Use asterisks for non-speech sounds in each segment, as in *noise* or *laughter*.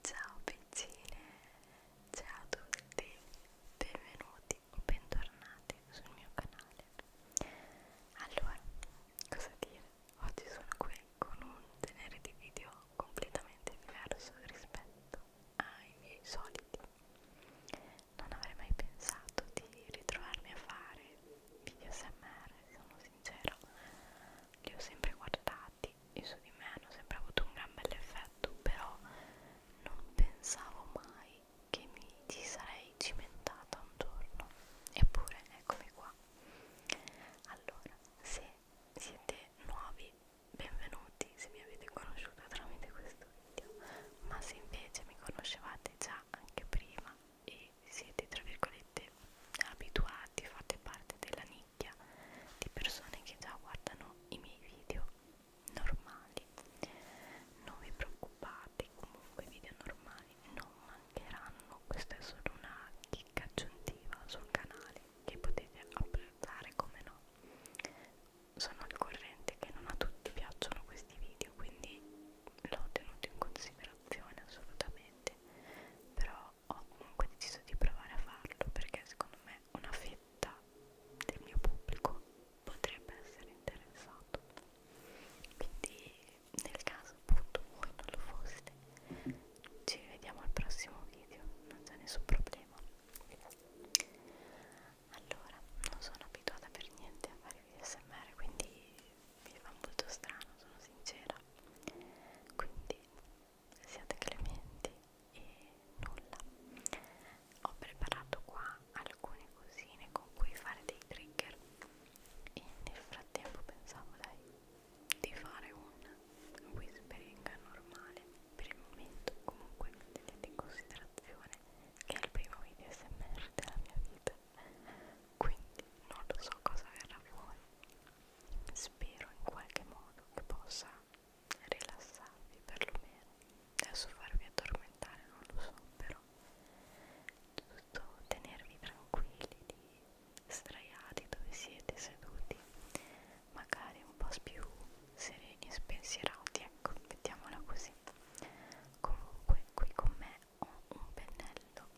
Ciao piccine, ciao a tutti, benvenuti o bentornati sul mio canale. Allora, cosa dire? Oggi sono qui con un genere di video completamente diverso rispetto ai miei soliti. Non avrei mai pensato di ritrovarmi a fare video SMR, sono sincero, li ho sempre guardati infatti io su di me hanno sempre avuto un gran bell'effetto però non pensavo mai che mi ci sarei cimentata un giorno eppure eccomi qua allora se siete nuovi benvenuti se mi avete conosciuto tramite questo video ma se invece mi conoscevate già anche prima e siete tra virgolette abituati, fate parte della nicchia di persone che già guardano i miei video normali non vi preoccupate comunque i video normali non mancheranno questa è solo una chicca aggiuntiva sul canale che potete apprezzare come no sono al corrente che non a tutti piacciono questi video quindi l'ho tenuto in considerazione un'opzione assolutamente però ho comunque deciso di provare a farlo perché secondo me una fetta del mio pubblico potrebbe essere interessato quindi nel caso appunto voi non lo foste ci rivediamo al prossimo video non c'è nessun problema allora non sono abituata per niente a fare ASMR quindi mi fa molto strano, sono sincera quindi siate clementi e nulla ho preparato qua alcune cosine con cui fare dei trigger e nel frattempo pensavo dai di fare un whispering normale per il momento comunque tenete in considerazione che è il primo video smr della mia vita quindi non lo so cosa verrà fuori spero in qualche modo che possa rilassarvi perlomeno adesso farvi addormentare non lo so però tutto tenervi tranquilli di straiati dove siete seduti magari un po' più sereni e spensierati ecco mettiamola così comunque qui con me ho un pennello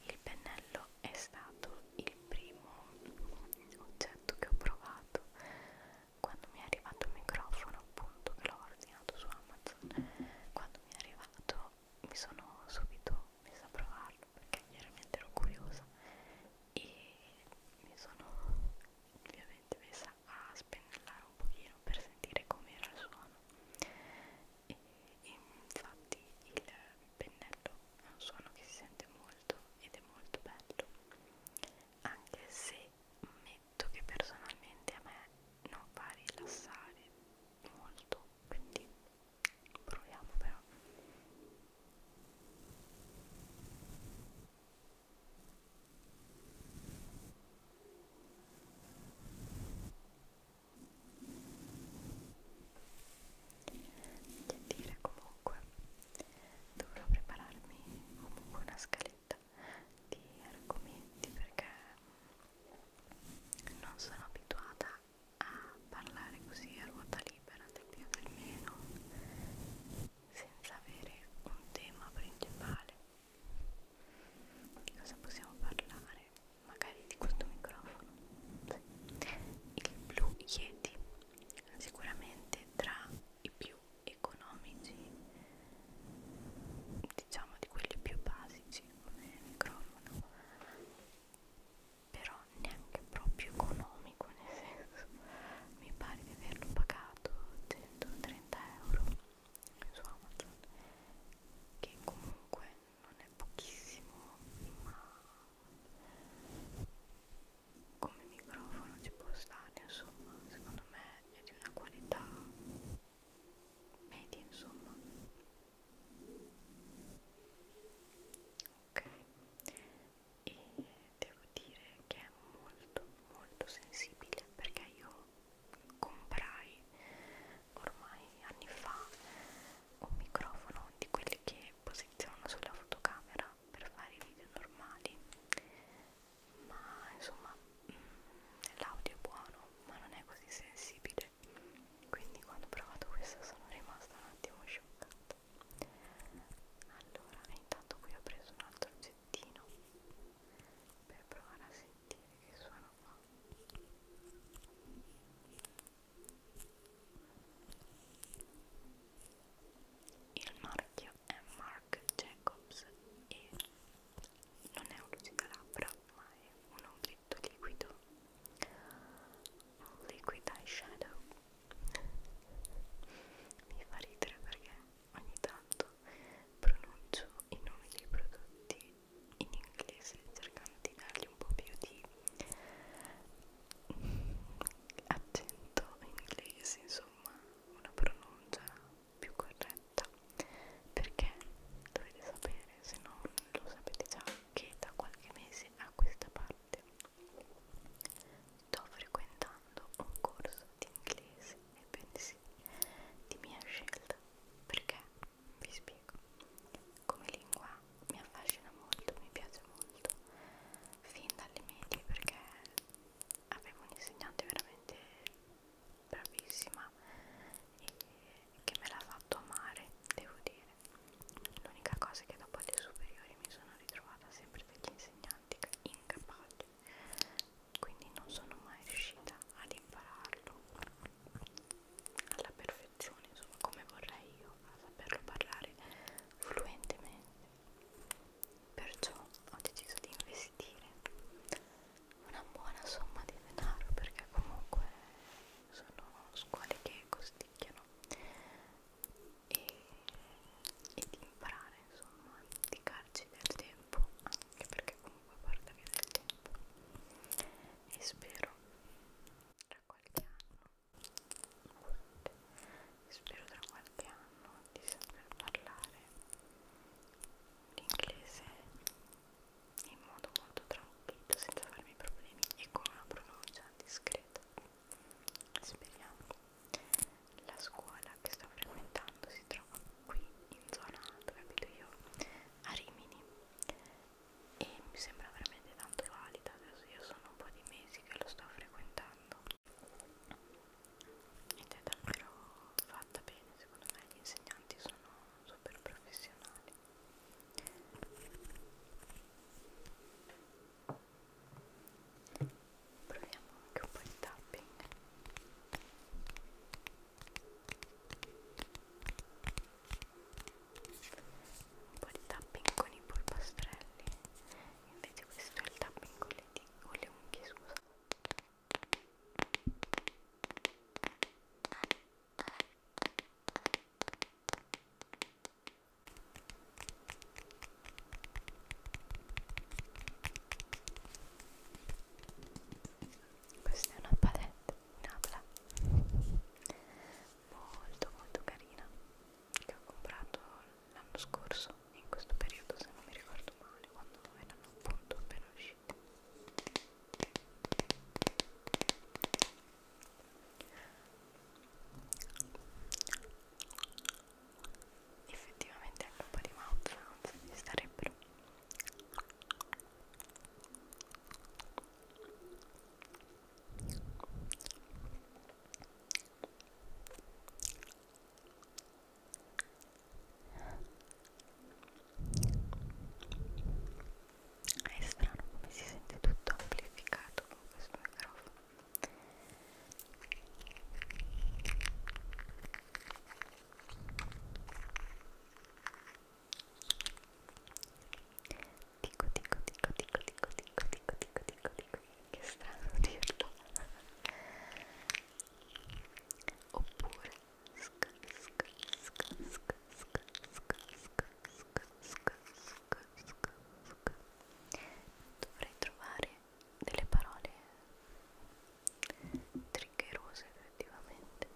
il pennello è stato il primo oggetto che ho provato quando mi è arrivato il microfono appunto che l'ho ordinato su Amazon quando mi è arrivato mi sono subito messa a provarlo perché chiaramente ero curiosa e mi sono ovviamente messa a spennellare un pochino almeno per sentire com'era il suono e, e infatti il pennello è un suono che si sente molto ed è molto bello anche se ammetto che personalmente a me non fa rilassare molto quindi proviamo però che dire comunque, dovrò prepararmi comunque una scaletta di argomenti perché non sono abituata a parlare così a ruota libera del più del meno senza avere un tema principale di cosa possiamo parlare? Magari di questo microfono. Il Blue Yeti, sicuramente tra i più economici, diciamo di quelli più basici come microfono, però neanche proprio economico nel senso mi pare di averlo pagato 130 euro su Amazon che comunque non è pochissimo ma come microfono ci può stare insomma secondo me è di una qualità media insomma ok e devo dire che è molto molto sensibile perché io comprai ormai anni fa un microfono di quelli che posiziono sulla fotocamera per fare i video normali ma insomma mm, l'audio è buono ma non è così sensibile quindi quando ho provato questo sono rimasta un attimo scioccata allora intanto qui ho preso un altro pezzettino per provare a sentire che suono fa il marchio è Marc Jacobs e non è un lucido ma è un ombretto liquido un liquid eyeshadow mi fa ridere perché ogni tanto pronuncio i nomi dei prodotti in inglese cercando di dargli un po' più di accento inglese insomma una pronuncia più corretta perché dovete sapere se non lo sapete già che da qualche mese a questa parte Sto frequentando un corso di inglese e pensi di mia scelta perché vi spiego come lingua mi affascina molto, mi piace molto fin dalle medie perché avevo un insegnante veramente bravissima e che me l'ha fatto amare, devo dire. L'unica cosa che dopo le superiori mi sono sono ritrovata sempre degli insegnanti incapaci, quindi non sono mai riuscita ad impararlo alla perfezione, insomma come vorrei io, a saperlo parlare fluentemente. Perciò ho deciso di investire una buona somma di denaro perché comunque sono scuole che costicchiano e, e di imparare insomma a dedicarci del tempo anche perché comunque porta via del tempo e spero tra qualche anno spero tra qualche anno di saper parlare l'inglese in modo molto tranquillo senza farmi problemi e con una pronuncia discreta speriamo la scuola che sto frequentando si trova qui in zona dove abito io a Rimini e mi sembra veramente tanto valida adesso io sono un po' di mesi che lo sto frequentando ed è davvero fatta bene secondo me gli insegnanti sono super professionali proviamo anche un po' di tapping un po' di tapping con i polpastrelli invece questo è il tapping con le, con le unghie scusa questa è una palette in abla molto molto carina che ho comprato l'anno scorso in questo periodo se non mi ricordo male quando erano appunto appena uscite effettivamente anche un po' di mouth sounds ci starebbero è strano come si sente tutto amplificato con questo microfono. Dico, dico, dico, dico, dico, dico, dico, dico, dico, dico, che strano dirlo. *laughs* Oppure Dovrei trovare delle parole triggerose effettivamente.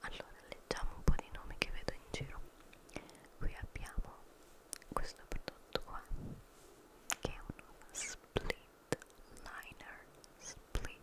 Allora, leggiamo un po' di nomi che vedo in giro. Qui abbiamo questo prodotto qua che è uno split liner split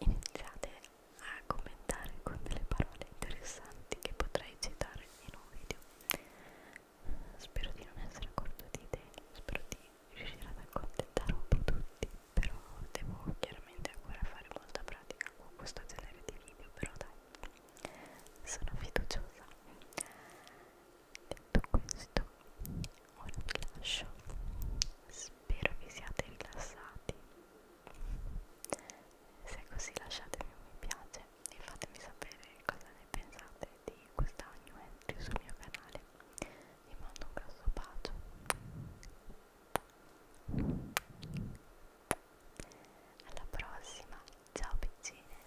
iniziate a commentare con delle parole interessanti che potrei citare in un video spero di non essere corto di idee spero di riuscire ad accontentare un po' tutti però devo chiaramente ancora fare molta pratica con questo genere di video però dai sono fiduciosa detto questo ora vi lascio spero vi siate rilassati se è così lasciatemi un mi piace e fatemi sapere cosa ne pensate di questa new entry sul mio canale vi mando un grosso bacio alla prossima ciao piccine